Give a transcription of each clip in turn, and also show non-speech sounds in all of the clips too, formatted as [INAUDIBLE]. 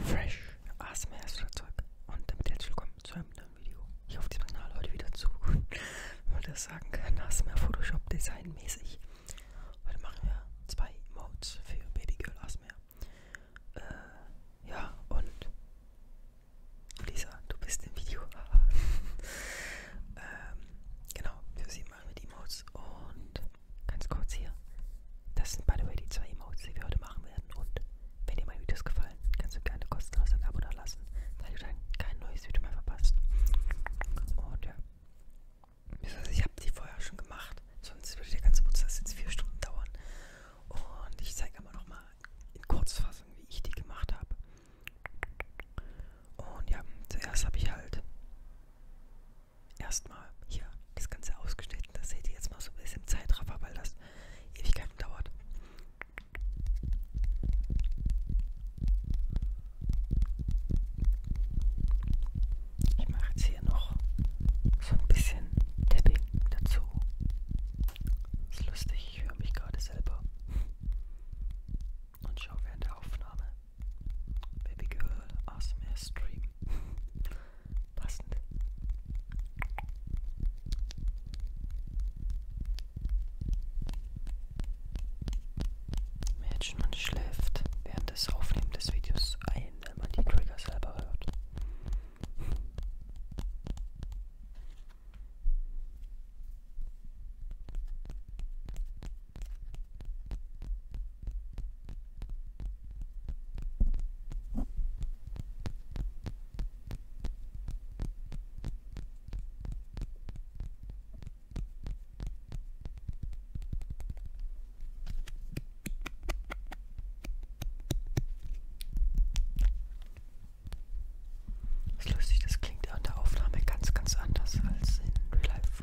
Fresh ASMR ist Zeug und damit herzlich willkommen zu einem neuen Video hier auf diesem Kanal heute wieder zu, [LAUGHS] wenn man das sagen kann, ASMR Photoshop Design mäßig. Heute machen wir zwei Modes für Baby Girl ASMR. Äh, ja und Lisa, du bist im Video. [LAUGHS] ähm, genau, für sie machen wir die Modes und ganz kurz hier. Das sind, by the way, die zwei Emotes, die wir heute machen werden. Und wenn dir meine Videos gefallen, kannst du gerne kostenlos ein Abo da lassen, weil du dann kein neues Video mehr verpasst. Und ja. Ich habe die vorher schon gemacht, sonst würde der ganze Prozess jetzt vier Stunden dauern. Und ich zeige aber nochmal in Kurzfassung, wie ich die gemacht habe. Und ja, zuerst habe ich halt erstmal hier das Ganze ausgeschnitten. Das seht ihr jetzt mal so ein bisschen Zeitraffer, weil das Ewigkeiten dauert. Ich mache jetzt hier noch so ein bisschen Tapping dazu. Ist lustig, ich höre mich gerade selber. Und schaue während der Aufnahme Baby Girl ASMR Stream passend. Mädchen und schläft während des Aufnehmen des Videos ein, wenn man die Trigger selber hört. Das ist lustig, das klingt an der Aufnahme ganz, ganz anders als in Real Life.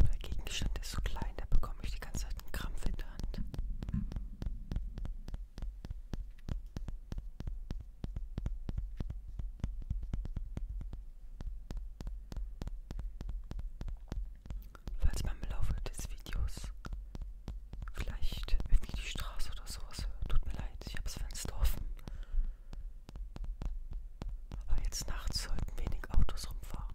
Der Gegenstand ist so klein, da bekomme ich die ganze Zeit einen Krampf in der Hand. Falls beim Laufe des Videos vielleicht irgendwie die Straße oder sowas hört, tut mir leid, ich hab's Fenster offen. Aber jetzt nachts sollten wenig Autos rumfahren.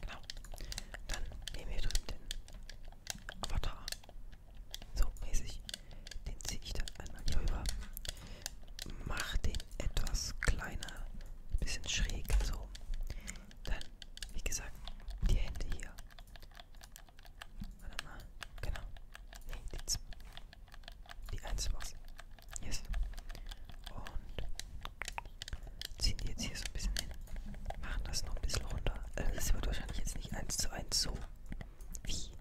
Genau. Dann nehmen wir drüben den Avatar. So mäßig. Den ziehe ich dann einmal hier rüber. Mach den etwas kleiner, bisschen schräg, so. Dann, wie gesagt, die Hände hier. Warte mal, genau. Nee, die, die eins war's. Yes. Und ziehen die jetzt hier so ein bisschen hin. Machen das noch ein bisschen runter. Also äh, das wird wahrscheinlich jetzt nicht eins zu eins so wie.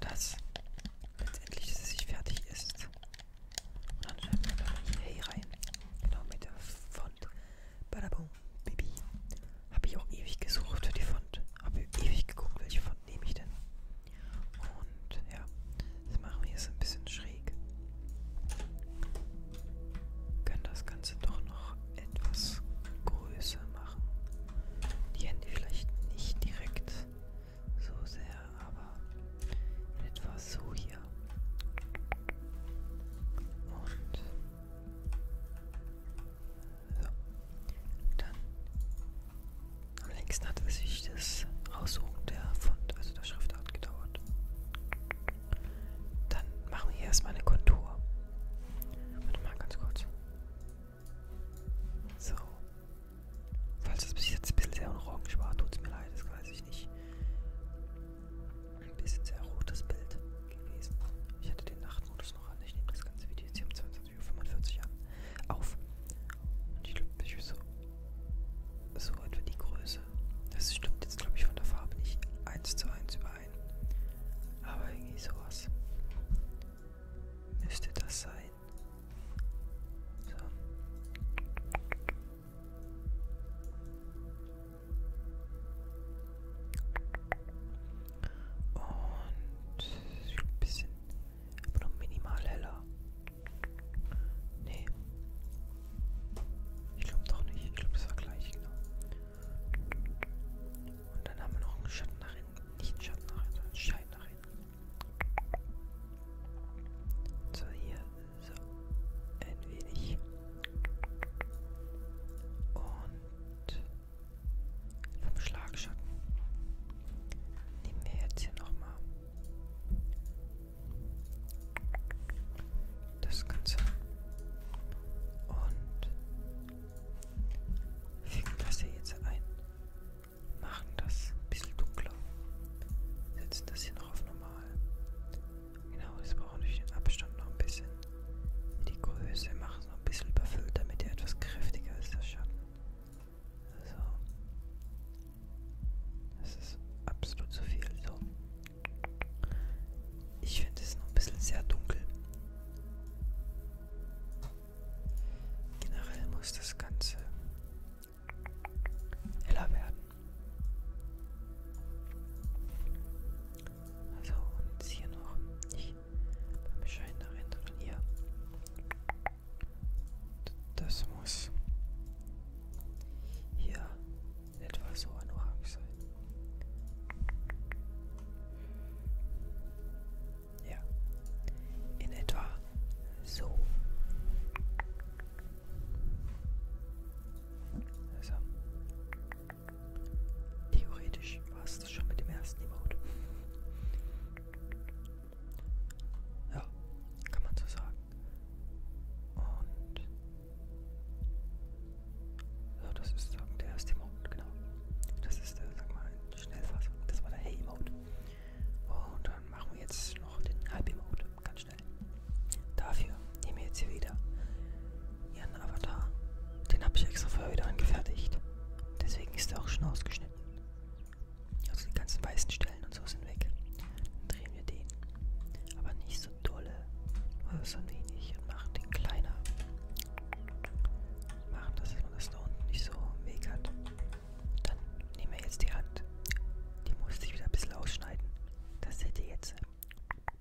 Das. Letztendlich, dass es sich fertig ist. Und dann schreibt man dann hier hey rein. Genau mit der Font. Badabum. Baby. Habe ich auch ewig gesucht für die Font. Habe ewig geguckt, welche Font nehme ich denn. Und ja, das machen wir jetzt ein bisschen schräg. Können das Ganze doch noch etwas größer machen. Die Hände vielleicht nicht direkt so sehr, aber in etwa so hier. Und so. Dann am längsten hat es sich das Aussuchen der Font, also der Schriftart gedauert. Dann machen wir hier erstmal eine Kontur. Warte mal ganz kurz. So. Falls das bis jetzt ein bisschen sehr orange war, tut es mir leid, das weiß ich nicht. Ein bisschen sehr rotes Bild gewesen. Ich hatte den Nachtmodus noch an. Ich nehme das ganze Video jetzt hier um 22.45 Uhr an. Auf. Und ich glaube, ich so, so etwa die Größe. Das stimmt jetzt, glaube ich, von der Farbe nicht eins zu eins überein. Aber irgendwie sowas. Müsste das sein. So. Und ein bisschen, aber noch minimal heller. Nee. Ich glaube doch nicht. Ich glaube, das war gleich, genau. Und dann haben wir noch einen Schatten nach hinten. Nicht einen Schatten nach hinten, sondern einen Schein nach hinten. So, hier. So. Ein wenig. Und vom Schlagschatten. Nehmen wir jetzt hier nochmal das Ganze und fügen das hier jetzt ein. Machen das ein bisschen dunkler. Setzen das hier noch auf normal. Genau, das brauchen durch den Abstand noch ein bisschen. Die Größe machen es noch ein bisschen überfüllt, damit er etwas kräftiger ist, der Schatten. So. Also, das ist absolut zu viel. So. Ich finde es noch ein bisschen sehr dunkel. Generell muss das Ganze heller werden. Also und hier noch nicht beim Schein da rein, sondern hier. Das muss hier etwa so an Orange sein. Ja, in etwa so. Also. Theoretisch war es das schon mit dem ersten Emote. Ja, kann man so sagen. Und ja, das ist sagen, der erste Emote, genau. Das ist der, äh, sag mal, Schnellfassung. Das war der Hey-Emote. Und dann machen wir jetzt noch den Halb-Emote, ganz schnell. Dafür nehme ich jetzt hier wieder ihren Avatar. Den habe ich extra vorher wieder angefertigt. Deswegen ist er auch schon ausgeschnitten. Also die ganzen weißen Stellen und so sind weg. Dann drehen wir den. Aber nicht so dolle. Nur so ein wenig und machen den kleiner. Machen, dass man das da unten nicht so im Weg hat. Dann nehmen wir jetzt die Hand. Die musste ich wieder ein bisschen ausschneiden. Das seht ihr jetzt.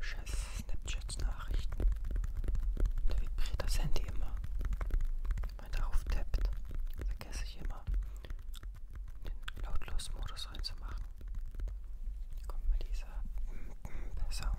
Scheiße, Snapchat-Nachrichten. Da vibriert das Handy immer. Wenn man darauf tappt, vergesse ich immer, den Lautlos-Modus reinzumachen. Da kommt mir dieser [CLEARS THROAT] Sound.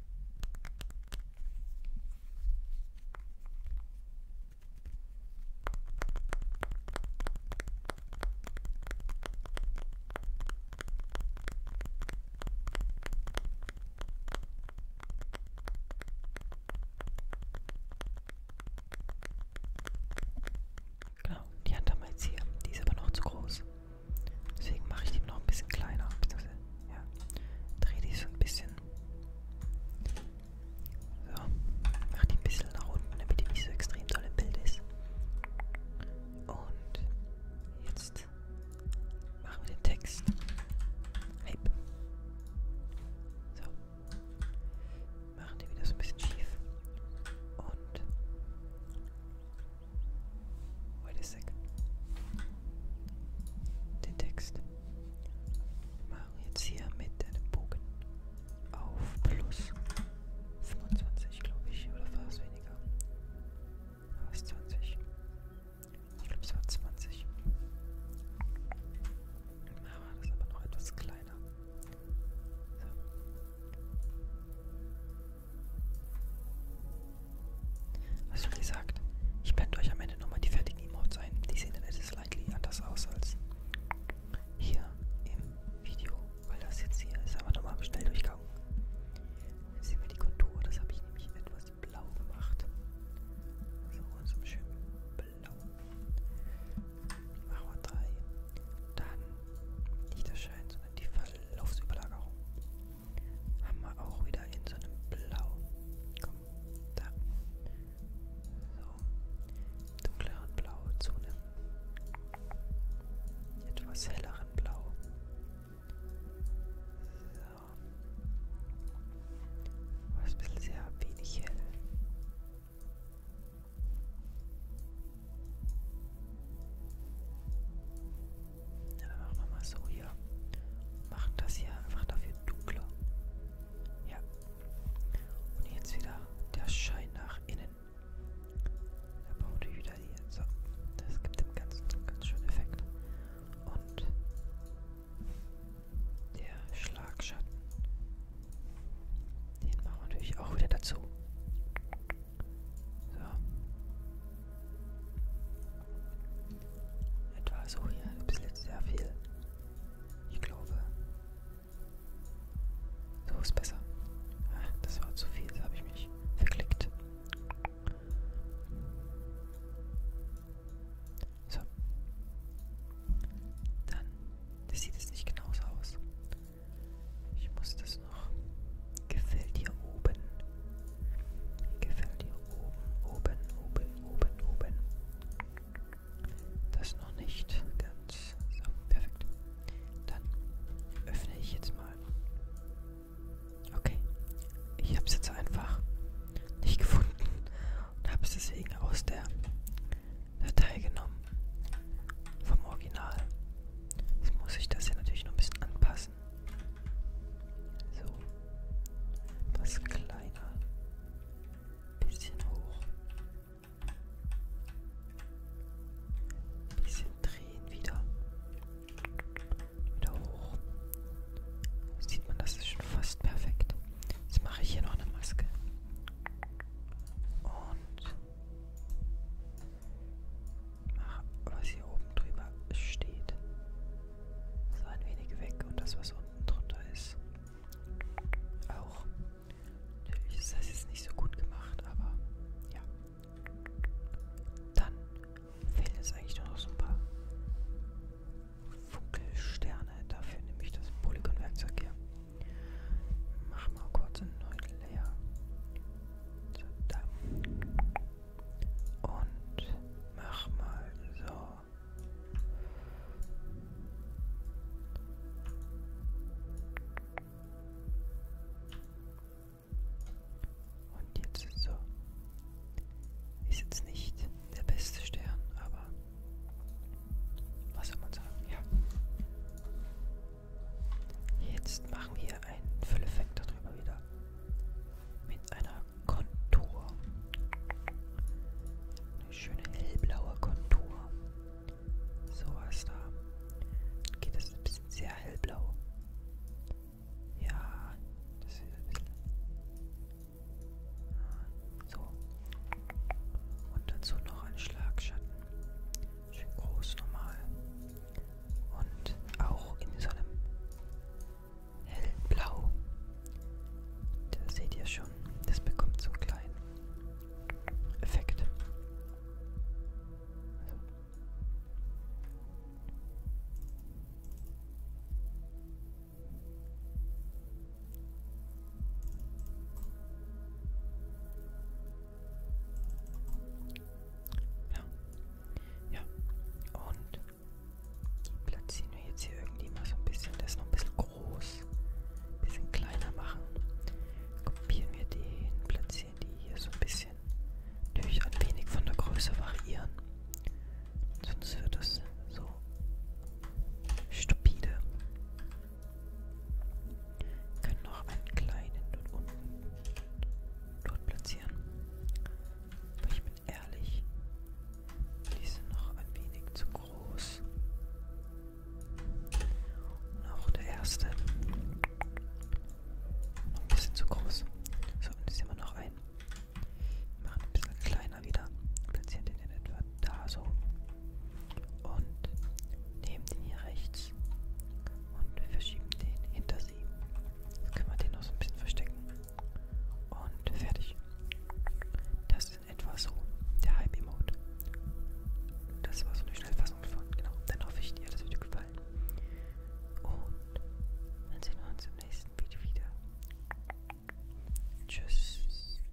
Genau, die Hand haben wir jetzt hier. Die ist aber noch zu groß. Deswegen mache ich die noch ein bisschen kleiner. Beziehungsweise, ja, drehe die so ein bisschen. So, mache die ein bisschen nach unten, damit die nicht so extrem toll im Bild ist. Und jetzt machen wir den Text. Hey. So. Machen die wieder so ein bisschen schief. Und Wait a second. Den Text machen wir jetzt hier mit einem Bogen auf plus 25, glaube ich, oder war es weniger? War es 20? Ich glaube, es war 20. Dann machen wir das aber noch etwas kleiner. So. Also wie gesagt, ich blende euch am Ende nochmal die fertigen Emotes ein. Die sehen dann etwas slightly anders aus als hier im Video, weil das jetzt hier ist. Aber nochmal schnell durchgang. Jetzt sehen wir die Kontur, das habe ich nämlich etwas blau gemacht. So, und so schön blau. Machen wir drei. Dann nicht das Schein, sondern die Verlaufsüberlagerung haben wir auch wieder in so einem Blau. Komm, da. So, dunkleren Blau zu einem etwas helleren Blau. So. Was ein bisschen sehr wenig hell. Ja, dann machen wir mal so hier. Machen das hier einfach dafür dunkler. Ja. Und jetzt wieder der Schein nach innen. Da braucht ihr wieder die. So, das gibt dem Ganzen einen ganz schönen Effekt. Und der Schlagschatten. Den machen wir natürlich auch wieder dazu. So. Etwa so hier. Bis jetzt sehr viel. Ich glaube. So ist besser. Ach, das war zu viel. Da habe ich mich verklickt. So. Dann das sieht es nicht genauso aus. Ich muss das noch. Gefällt hier oben. Gefällt hier oben, oben, oben, oben, oben. Das noch nicht ganz. So, perfekt. Dann öffne ich jetzt mal. Okay. Ich habe es jetzt einfach nicht gefunden und habe es deswegen aus der Datei genommen. Vom Original. Jetzt muss ich das hier natürlich noch ein bisschen anpassen. So. Etwas kleiner. Bisschen hoch. Bisschen drehen wieder. Wieder hoch. Sieht man, das ist schon fast perfekt. Jetzt mache ich hier noch eine Maske. Und was hier oben drüber steht, so ein wenig weg und das, was unten drunter ist, auch. Natürlich ist das jetzt nicht so gut gemacht, aber ja. Dann fehlen jetzt eigentlich nur noch so ein paar Funkelsterne. Dafür nehme ich das Polygon-Werkzeug hier. Mach mal kurz einen Neutel leer. So, da. Und mach mal so. Und jetzt ist so. Ist jetzt nicht der beste Stern, aber was soll man sagen? Ja. Jetzt machen wir einen Fülleffekt darüber wieder. Mit einer Kontur. Eine schöne hellblaue Kontur. So was da. Dann geht das ein bisschen sehr hellblau. Ja, das ist ein bisschen. Ah, so. Und dazu noch ein Schlagschatten schön groß normal und auch in so einem hellblau. Da seht ihr schon, das bekommt so einen kleinen Effekt. Also. Ja. Ja. Und die platzieren wir jetzt hier irgendwie mal so ein bisschen. Das ist noch ein bisschen groß. Ein bisschen kleiner machen. Kopieren wir den, platzieren die hier so ein bisschen. Natürlich ein wenig von der Größe variieren. Sonst wird das so stupide. Können noch einen kleinen dort unten dort platzieren. Aber ich bin ehrlich, die sind noch ein wenig zu groß. Und auch der erste. Noch ein bisschen zu groß. So, und jetzt immer noch ein. Wir machen ein bisschen kleiner wieder. Platzieren den in etwa da so. Und nehmen den hier rechts und wir verschieben den hinter sie. Jetzt können wir den noch so ein bisschen verstecken. Und fertig. Das ist in etwa so der Hype-Emote. Das war so eine Schnellfassung davon. Genau. Dann hoffe ich, dir hat das Video gefallen. Und dann sehen wir uns im nächsten Video wieder. Tschüss.